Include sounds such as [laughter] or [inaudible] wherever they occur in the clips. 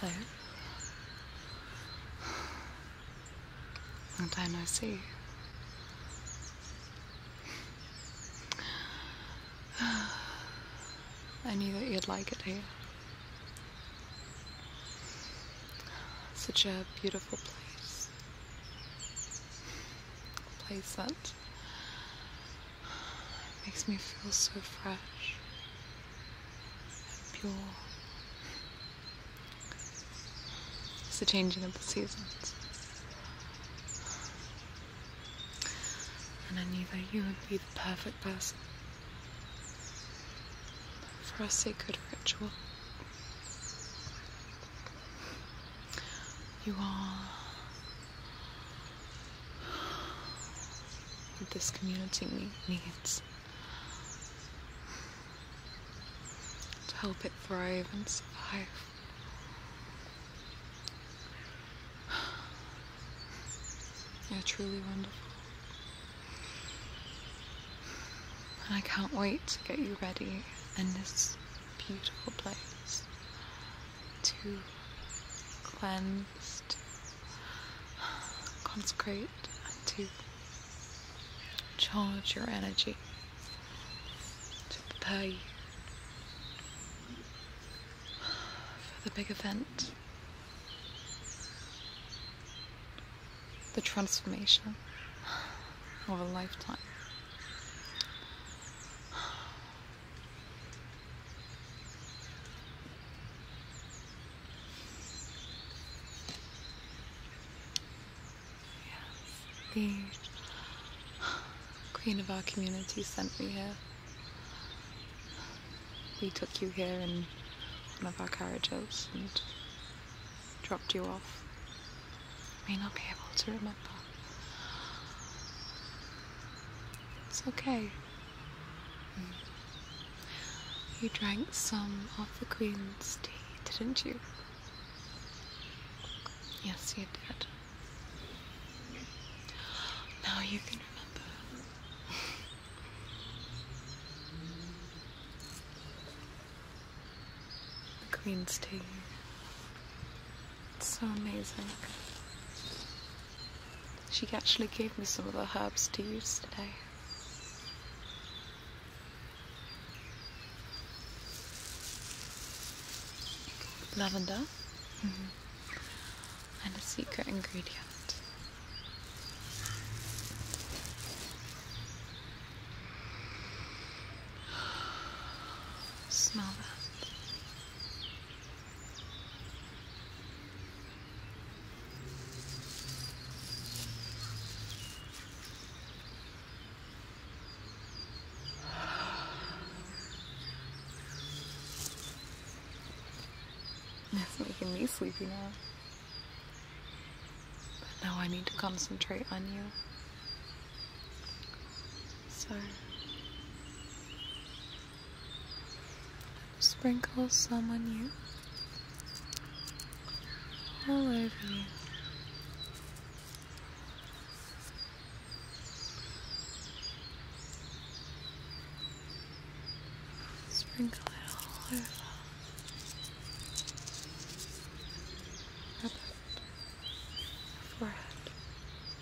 Hello? Long time no see. I knew that you'd like it here. Such a beautiful place. A it makes me feel so fresh and pure. It's the changing of the seasons. And I knew that you would be the perfect person for a sacred ritual you all what this community needs to help it thrive and survive. [sighs] You're truly wonderful. And I can't wait to get you ready in this beautiful place to cleanse, consecrate, and to charge your energy, to prepare you for the big event, the transformation of a lifetime the queen of our community sent me here. We took you here in one of our carriages and dropped you off. may not be able to remember. It's okay. You drank some of the Queen's tea, didn't you? Yes, you did. Now you can remember. [laughs] the Queen's tea. It's so amazing. She actually gave me some of the herbs to use today. Lavender mm-hmm. and a secret ingredient. Smell that. [sighs] It's making me sleepy now. But now I need to concentrate on you. So sprinkle some on you, all over you. Sprinkle it all over. Up forehead,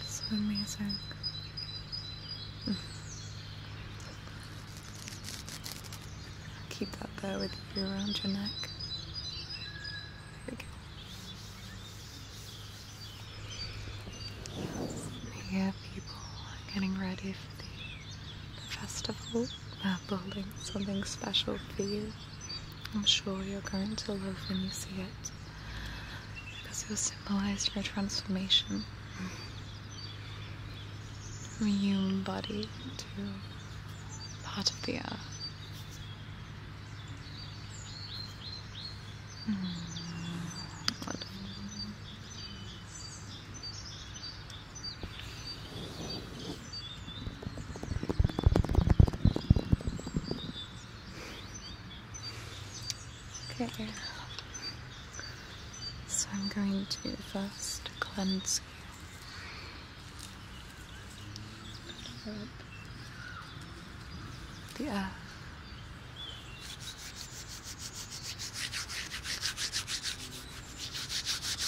It's amazing. Keep that bow with you around your neck. There we go. Yeah, people are getting ready for the, festival. festival. Uh, are building something special for you. I'm sure you're going to love when you see it because it was symbolized your transformation from human body to part of the earth. Mm, Okay. So I'm going to first cleanse the earth.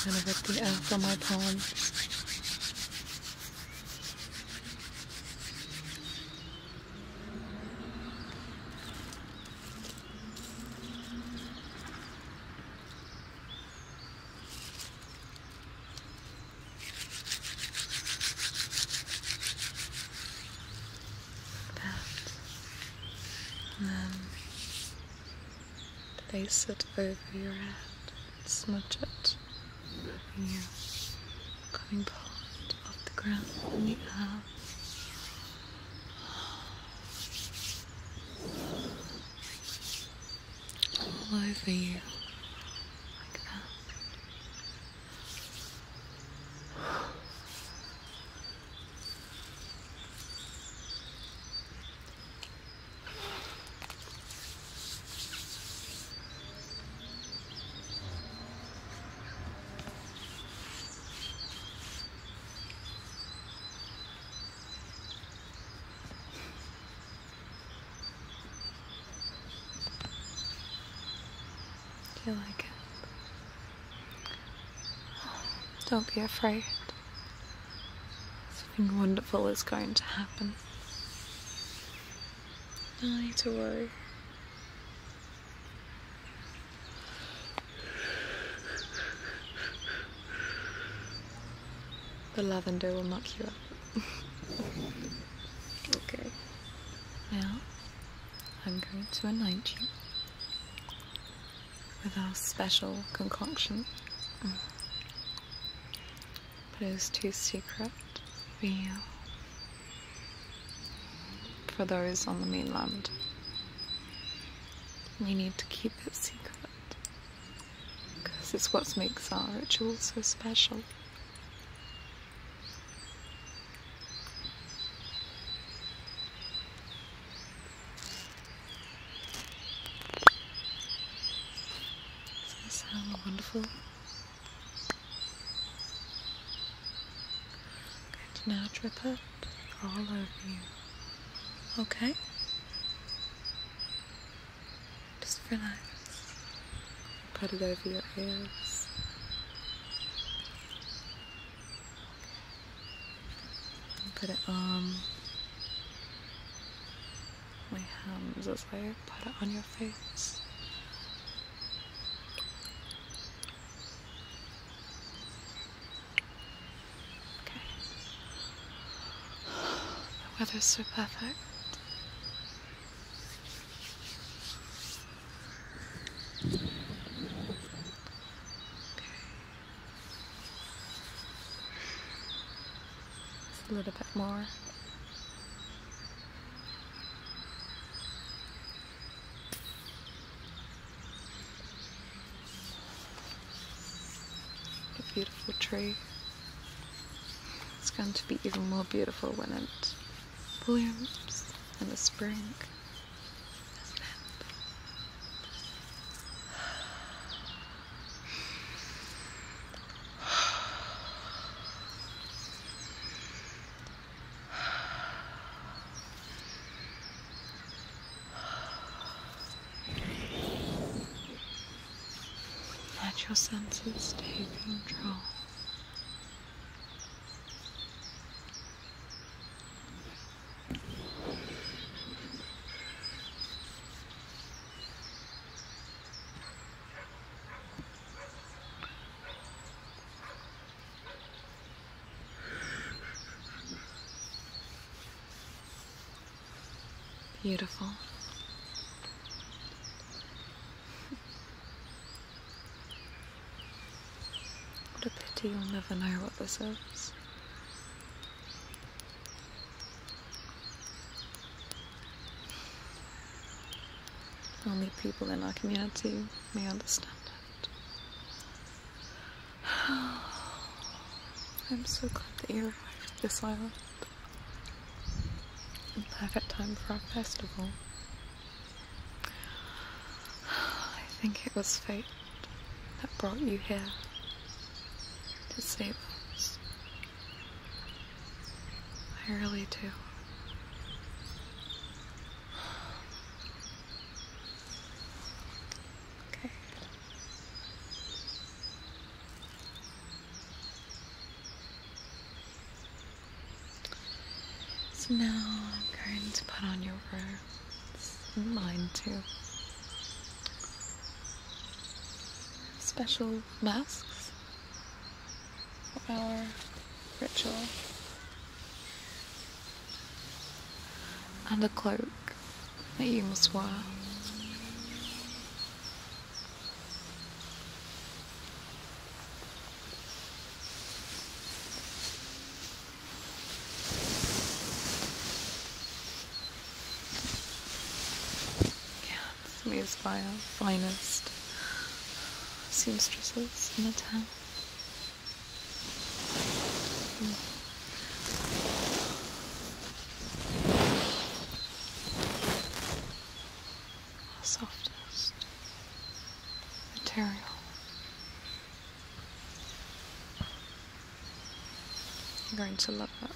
I'm gonna rip the earth from my palm. And then place it over your head and smudge it over coming part off the ground and we have all over you like that you like it. don't be afraid. Something wonderful is going to happen. No need to worry. The lavender will knock you up. okay. Now, I'm going to anoint you with our special concoction. But it was too secret for you for those on the mainland. We need to keep it secret because it's what makes our ritual so special. Does that sound wonderful? Good. Now drip up all over you. Okay? Just relax. Put it over your ears. put it on my hands as well. Put it on your face. Okay. The weather's so perfect. a little bit more. What a beautiful tree. It's going to be even more beautiful when it blooms in the spring. Let your senses take control. Beautiful. What a pity you'll never know what this is. Only people in our community may understand. [sighs] I'm so glad that you arrived at this island. I'm perfect time for our festival. [sighs] I think it was fate that brought you here to save us. I really do. Okay. So now I'm going to put on your robes and mine too. Special masks for our ritual and a cloak that you must wear. Is by our finest seamstresses in the town softest material. You're going to love that.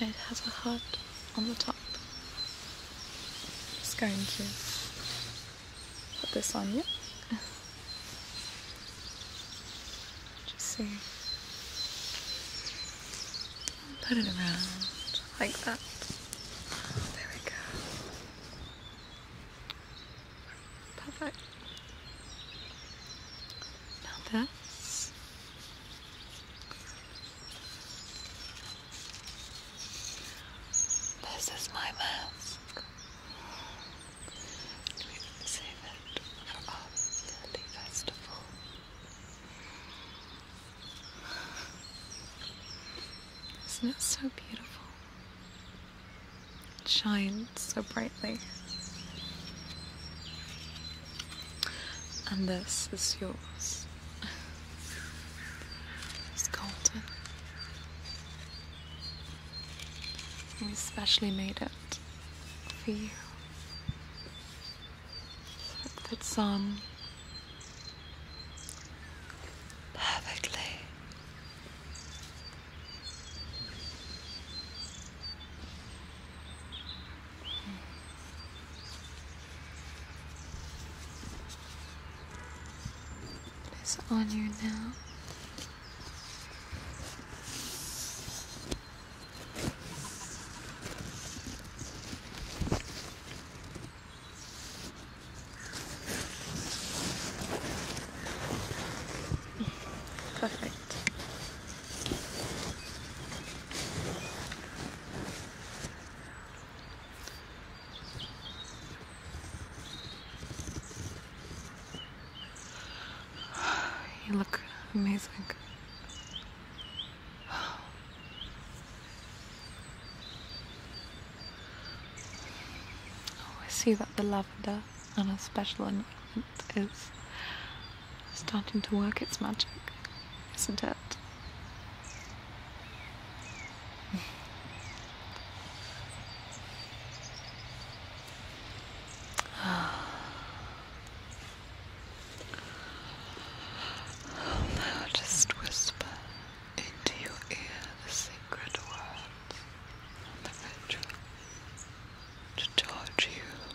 It has a heart on the top. Just going to put this on you. [laughs] Just see. Put it around like that. There we go. Perfect. Now this this is my mask. save it for our yearly festival. Isn't it so beautiful? It shines so brightly. And this is yours. It's golden. We specially made it for you. So it fits on um, perfectly. It is on you now. Perfect. You look amazing. Oh, see that the lavender and a special ingredient is starting to work its magic, isn't it? now just whisper into your ear the secret words the ritual to charge you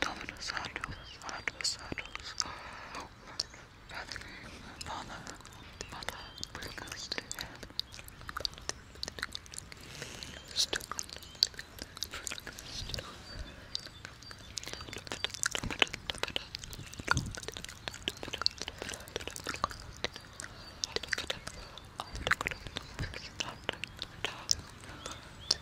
Dominus Adus, Adus, Adus, Father, Father, Mother, bring us to heaven.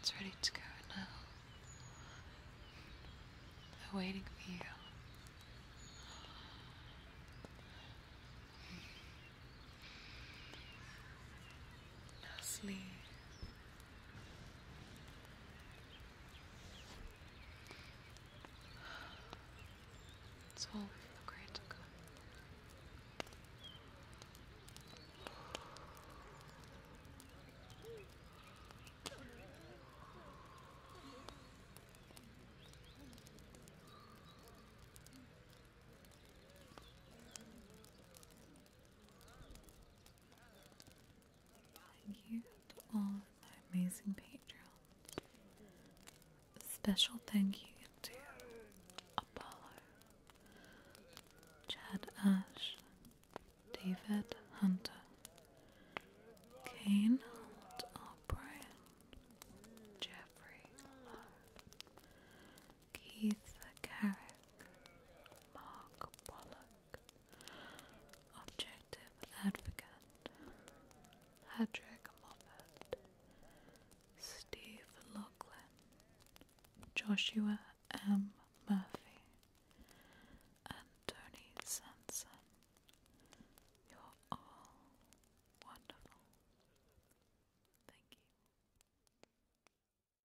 It's ready to go now, waiting for you. Sleep. It's all hypocritical. Thank you to all my amazing patrons. special thank you to Apollo, Chad Ash, David Hunter, Kane O'Brien, Jeffrey Lowe, Keith Carrick, Mark Pollock, Objective Advocate, Patrick Moffat, Steve Lachlan, Joshua M. Murphy, and Tony Sanson. You're all wonderful. Thank you.